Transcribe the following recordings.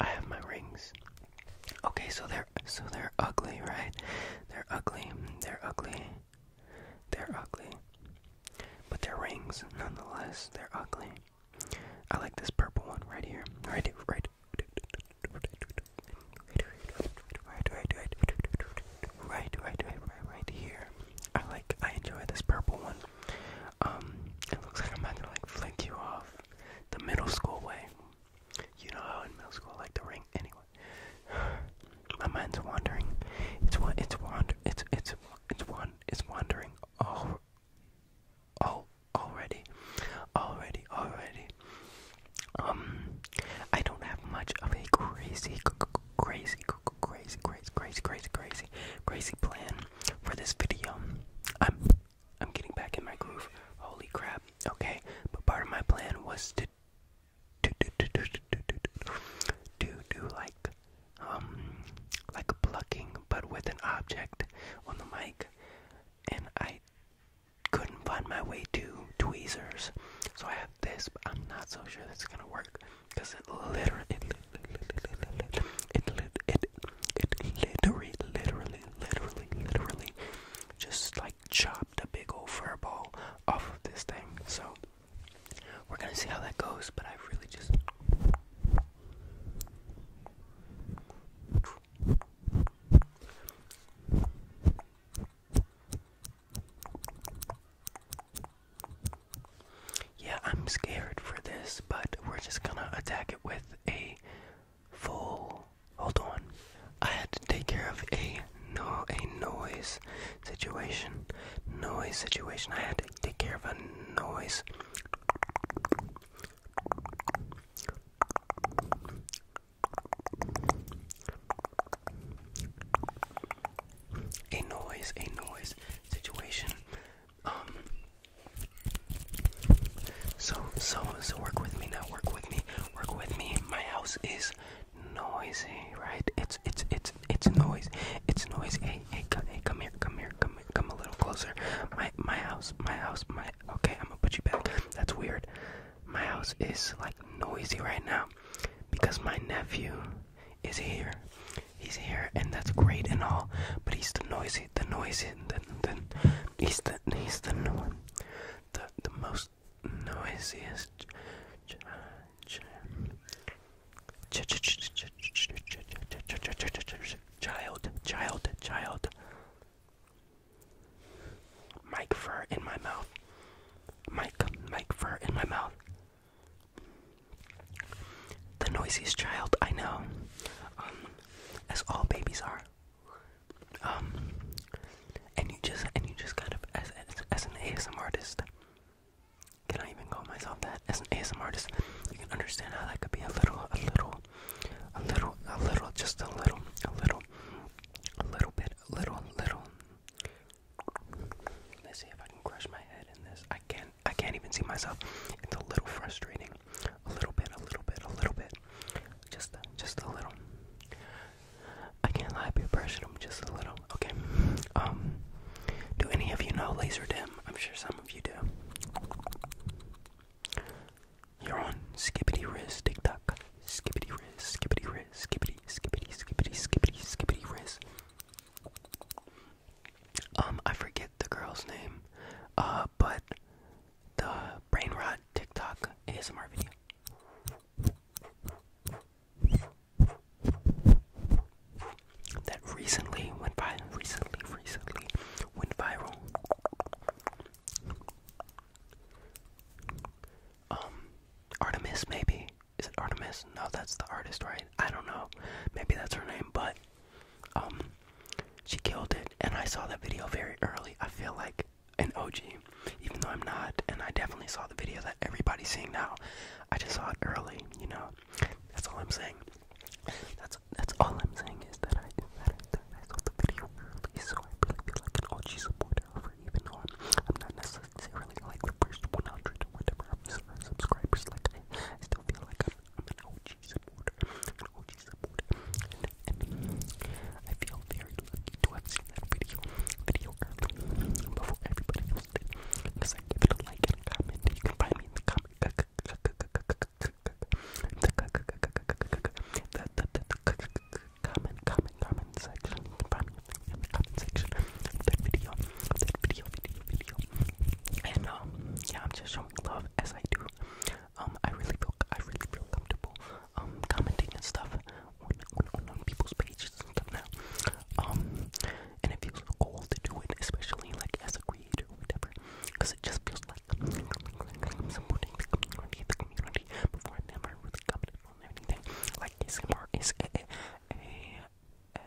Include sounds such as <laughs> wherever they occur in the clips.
I have my rings. Okay, so they're so they're ugly, right? They're ugly. They're ugly. They're ugly. But they're rings nonetheless. They're ugly. I like this purple one right here. Right here, right. Right, right, right, right, right, right, right, right here. I like. I enjoy this purple one um, it looks like I'm about to like flick you off the middle school way. You know how in middle school I like the ring anyway. <sighs> My mind's wandering. It's what it's wander it's it's it's one it's wandering all all already. Already, already. Um I don't have much of a crazy crazy crazy crazy crazy crazy crazy crazy plan for this video. I'm I'm getting back in my groove. Holy crap. Okay, but part of my plan was to to do do do do do do do do like um like a plucking but with an object on the mic and I couldn't find my way to tweezers so I have this but I'm not so sure that's gonna work because it literally it it it literally literally literally literally just like chopped a big old fur ball off of this thing. So we're gonna see how that goes, but I really just yeah, I'm scared for this, but we're just gonna attack it with a full. Hold on. I had to take care of a no a noise situation. Noise situation. I had to take care of a noise. A noise, a noise situation um, so, so, so work with me now, work with me, work with me. My house is noisy, right? It's, it's, it's, it's noise, it's noise. Hey, hey, come, hey, come here, come here, come, come a little closer. My, my house, my house, my, okay, I'm gonna put you back. That's weird. My house is like noisy right now because my nephew is here he's here and that's great and all, but he's the noisy, the noisy, the, the he's the he's the the the most noisiest. Child, child, child. Mike fur in my mouth. Mike, Mike fur in my mouth. The noisiest child I know as all babies are. Um, and you just and you just kind of as as, as an ASM artist, can I even call myself that? As an ASM artist, you can understand how that could be a little, a little, a little, a little, just a little, a little, a little bit, a little, little. Let's see if I can crush my head in this. I can can't I can't even see myself. It's a little frustrating. A little bit, a little bit, a little bit. Just just a little. I can't lie, be brushing them just a little. Okay. Um do any of you know laser dim? I'm sure some of you do. You're on Skippity Riz TikTok. Skippity Riz, Skippity Riz, Skippity, Skippity, Skippity, Skippity, Skippity Riz. Um, I forget the girl's name, uh, but the brain rot TikTok ASMR video. That recently went viral. Recently, recently went viral. Um, Artemis, maybe is it Artemis? No, that's the artist, right? I don't know. Maybe that's her name, but um, she killed it, and I saw that video very early. I feel like an OG, even though I'm not, and I definitely saw the video that everybody's seeing now. I just saw it early, you know. That's all I'm saying. That's that's all I'm saying is that I that I, that saw the video early, so I feel like an OG supporter even though I'm, I'm not necessarily like the first 100 or whatever subscribers. Like I, still feel like i I'm an OG supporter. I'm an OG supporter. And, I feel very lucky to have seen that video video before everybody else did. it a like and a comment. You can find me in the comment comment comment comment section. You can find me in the comment section of that video. That video video video. And um yeah I'm just showing love as I do um, I really feel, I really feel comfortable, um, commenting and stuff on, on, people's pages now, um, and it feels so cool to do it, especially, like, as a creator or whatever, because it just feels like I'm never really commented on anything, like, is a, a, a,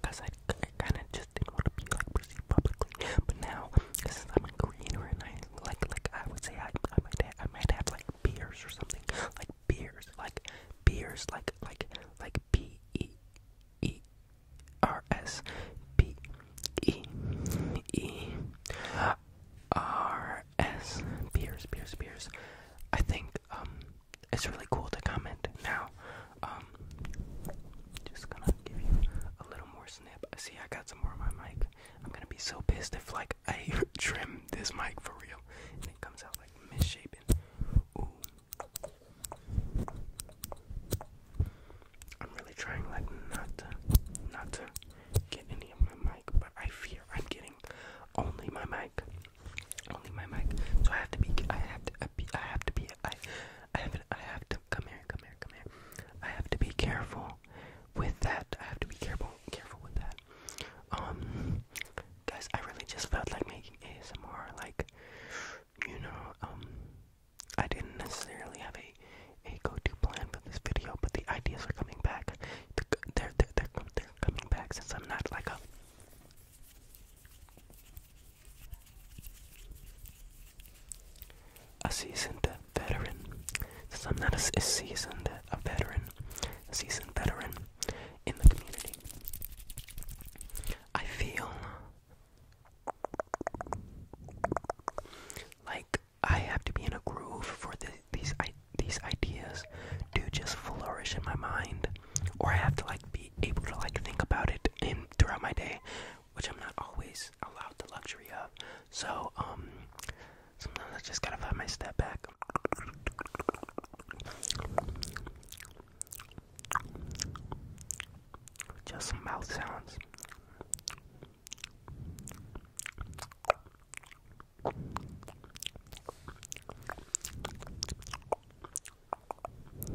because I, kind of just didn't want to be like perceived publicly. But now, since I'm a creator and I like, like I would say I, I might, have, I might have like beers or something, like beers, like beers, like like like B E E R S B E E R S beers, beers, beers. I think um it's really cool to comment. Now, um, just gonna give you a little more snip. See, I got some more on my mic. I'm gonna be so pissed if like I <laughs> trim this mic for real and it comes out like misshapen. Ooh. I'm really trying like not not to get any of my mic, but I fear I'm getting only my mic. Only my mic. So I have to be. I have to be. I have to be. I. I have. I have to come here. Come here. Come here. I have to be careful with that. I have to be careful. Careful with that. Um, guys, I really just felt like making ASMR. Like, you know, um, I didn't necessarily have a a go-to plan for this video, but the ideas are coming back. They're they're they're, they're coming back since I'm not like a a seasoned veteran. Since I'm not a, seasoned a veteran, seasoned veteran in the community, I feel like I have to be in a groove for these these ideas to just flourish in my mind or I have to like be able to like think about it and throughout my day, which I'm not always allowed the luxury of. So um, sometimes I just gotta find my step back. Just mouth sounds. But,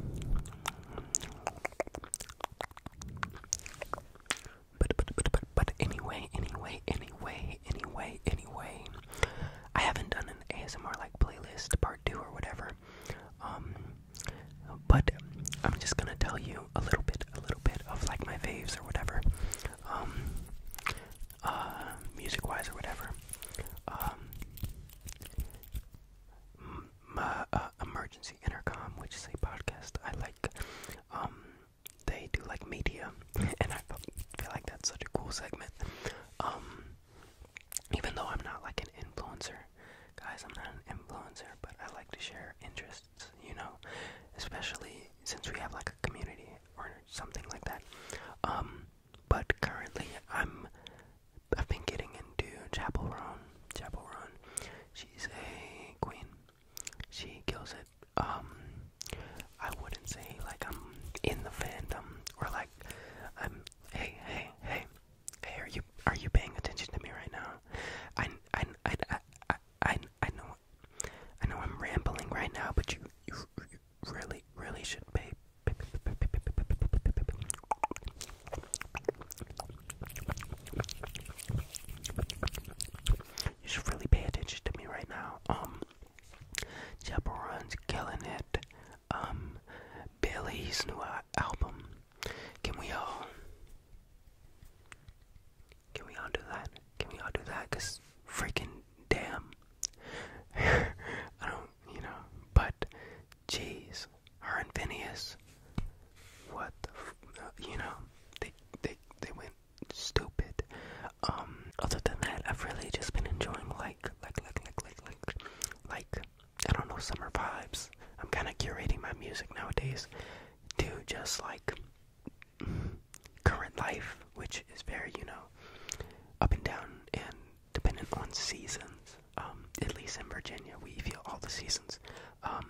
but, but, but, but anyway, anyway, anyway, anyway, anyway, I haven't done an ASMR like playlist part two or whatever. Um, but I'm just gonna tell you a little bit, a little bit of like my faves or whatever. Um, uh, music wise or whatever. Um, my, uh, uh, emergency intercom, which is a podcast I like. Um, they do like media, <laughs> and I feel like that's such a cool segment. Um, even though I'm not like an influencer, guys, I'm not an influencer, but I like to share interests, you know, especially since we have like a community or something like that. Um, but currently I'm I've been getting into Chapel Roan. Chapel Roan. She's a queen. She kills it. Um I wouldn't say like I'm in the fandom or like I'm hey hey hey hey are you are you paying attention to me right now? I I I I I, I know I know I'm rambling right now but you you, really really should be. You should really pay attention to me right now. Um, Jabaron's killing it. Um, Billy's new album. Can we all? Can we all do that? Can we all do that? Cause freaking damn, <laughs> I don't, you know. But jeez, her and Phineas, what the, f uh, you know, they they they went stupid. Um, other than that, I've really just been enjoying like like like like like like I don't know summer vibes. I'm kind of curating my music nowadays to just like current life, which is very you know up and down and dependent on seasons. Um, at least in Virginia, we feel all the seasons. Um,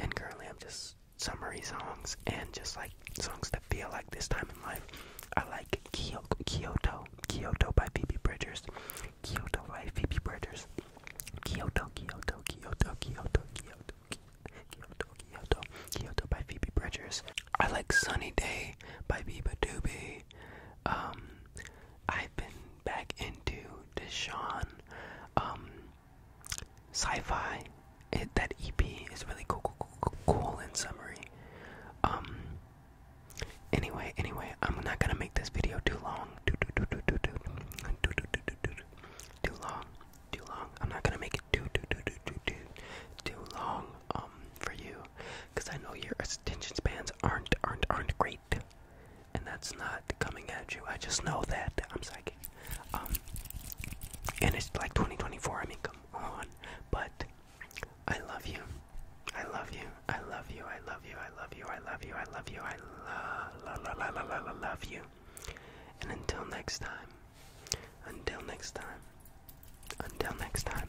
and currently, I'm just summery songs and just like songs that feel like this time in life. I like Kyoto, Kyoto by Phoebe Bridgers, Kyoto by Phoebe Bridgers, Kyoto, Kyoto, Kyoto, Kyoto, Kyoto, Kyoto, Kyoto, Kyoto by Phoebe Bridgers. I like Sunny Day by Biba Doobie. Um, I've been back into Deshaun um, sci-fi. That EP is really cool, cool, in summary. Um, anyway, anyway, I'm not gonna make this video too long. Too, long, too long. I'm not gonna make it too, too, too, too, too, long. Um, for you because I know your attention spans aren't aren't aren't great, and that's not coming at you. I just know that I'm psychic, um, and it's like 2024. I mean, come on, but I love you. I love you. I love you. I love you. I love you. I love you. I love you. I love la la la la la love you. And until next time. Until next time. Until next time.